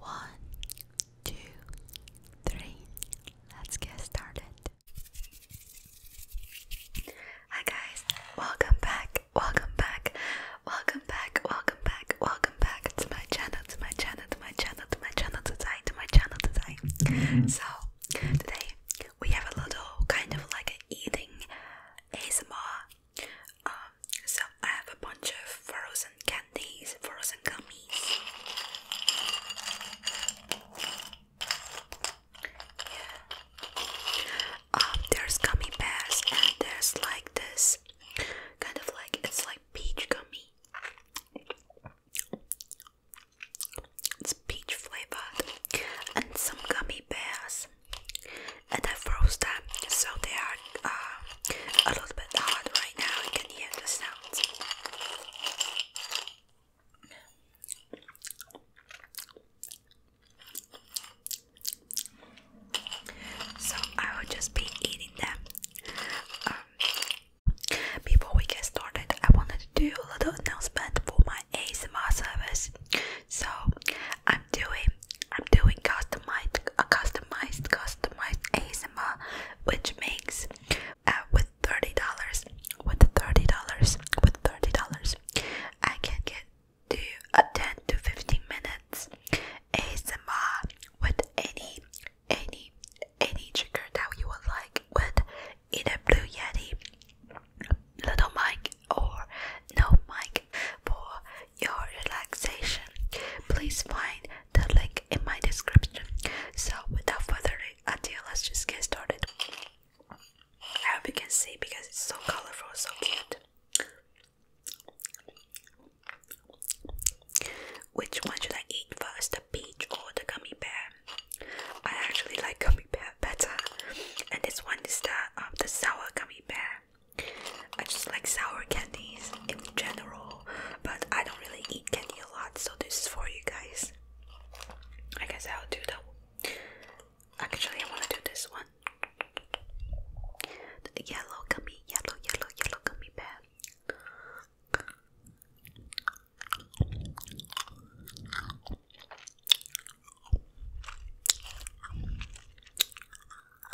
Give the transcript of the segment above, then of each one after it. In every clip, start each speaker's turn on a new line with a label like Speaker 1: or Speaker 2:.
Speaker 1: One, two, three. Let's get started. Hi guys, welcome back, welcome back, welcome back, welcome back, welcome back to my channel, to my channel, to my channel, to my channel today, to my channel today. Mm-hmm. So today we have a little kind of like an eating ASMR um, so I have a bunch of frozen candies, frozen gummies. Yeah. Um, there's gummy bears and there's like this kind of like it's like peach gummy. It's peach flavored and some gummy bears and I froze them so they are uh, a little bit hard right now. You can hear the sound. So I will just be eating them. Um, before we get started, I wanted to do a little announcement for my ASMR service. So I'm doing I'm doing customized a customized customized ASMR which makes uh, with thirty dollars with thirty dollars with thirty dollars I can get to a uh, ten to fifteen minutes ASMR with any any any trigger that you would like with either blue yeti little mic or no mic for your relaxation. Please find the link in my description. So, without further ado, let's just get started. I hope you can see because it's so colorful, so cute. Which one should I eat first, the peach or the gummy bear? I actually like gummy bear better, and this one is the um, the sour gummy bear. I just like sour candies in general, but I don't really eat candy a lot, so this is for you guys. I guess I'll do the. Actually, I want to do this one. yellow gummy, yellow, yellow, yellow gummy bear.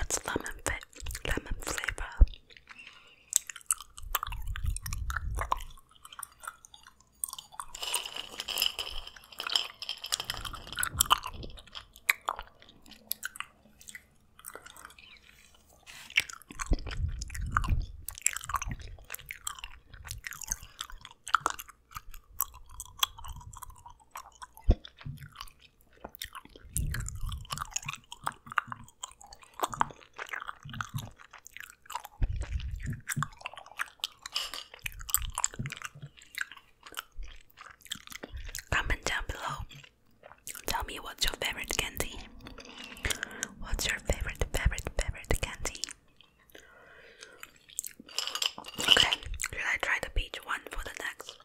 Speaker 1: It's lemon fit, lemon flavor. Comment down below. Tell me what's your favorite candy. What's your favorite, favorite, favorite candy? Okay, should I try the peach one for the next?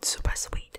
Speaker 1: Super sweet.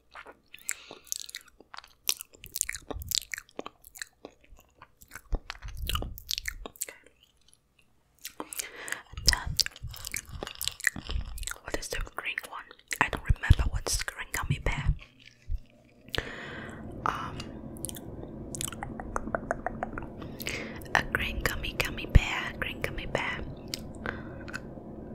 Speaker 1: what is the green one? I don't remember what's green gummy bear. Um, a green gummy gummy bear, green gummy bear.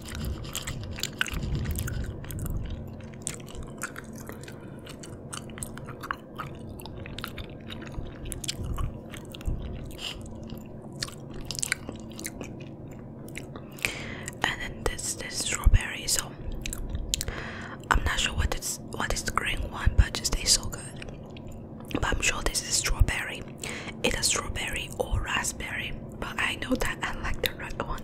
Speaker 1: And then this this strawberry, so I'm not sure what is what is the green one, but it just tastes so good. But I'm sure this is strawberry. It's a strawberry or raspberry, but I know that I like the red one.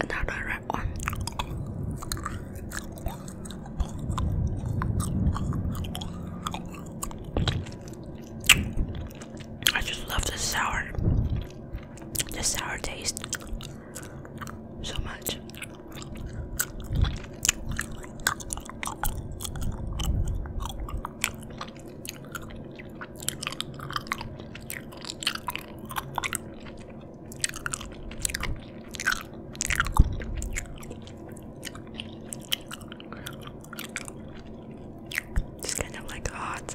Speaker 1: another red one. I just love the sour, the sour taste so much. It's kind of like hot.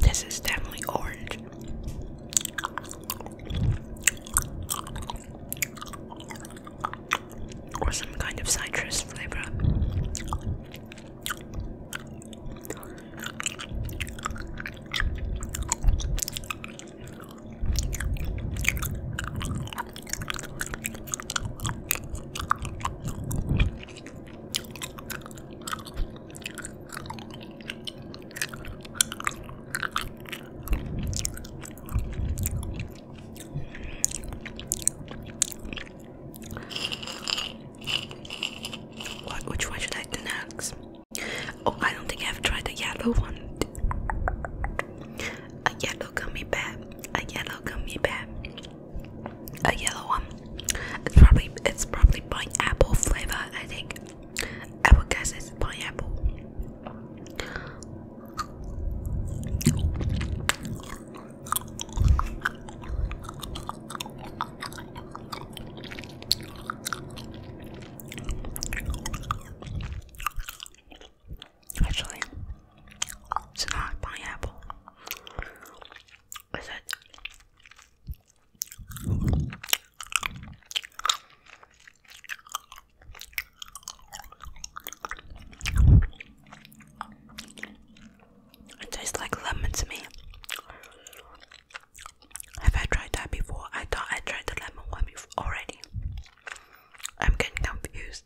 Speaker 1: This is definitely orange. Or some kind of citrus flavor which one should I do next? Oh, I don't think I've tried the yellow one. A yellow gummy bear. A yellow gummy bear. A yellow one. It's probably it's probably pineapple flavor. I think. I would guess it's pineapple. Actually, it's not pineapple. It tastes like lemon to me. Have I tried that before? I thought I tried the lemon one before already. I'm getting confused.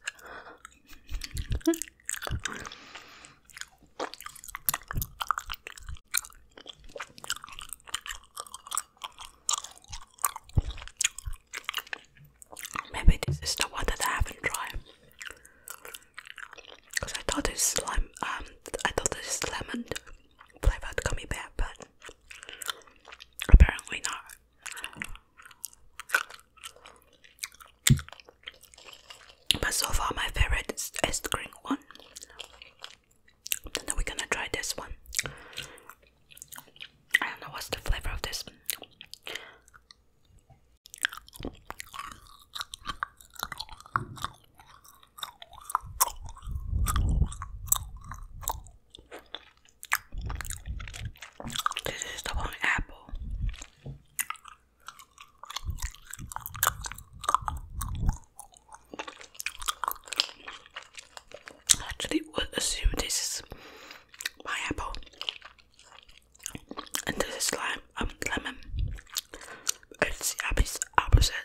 Speaker 1: Maybe this is the one that I haven't tried. Cause I thought it's lime. Um, I thought it's lemon flavored gummy bear, but apparently not. But so far, my favorite is, is the green one. Then we're gonna try this one. I don't know what's the flavor of this. This is the one apple. I would assume this is my apple. And this is lime um lemon. It's the opposite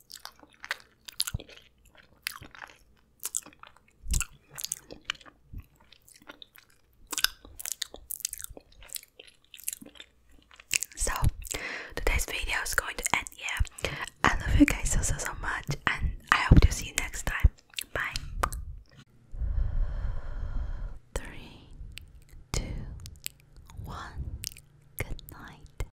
Speaker 1: So, today's video is going to end here. I love you guys so so so much, and I hope to see you next time. Bye. Three, two, one. Good night,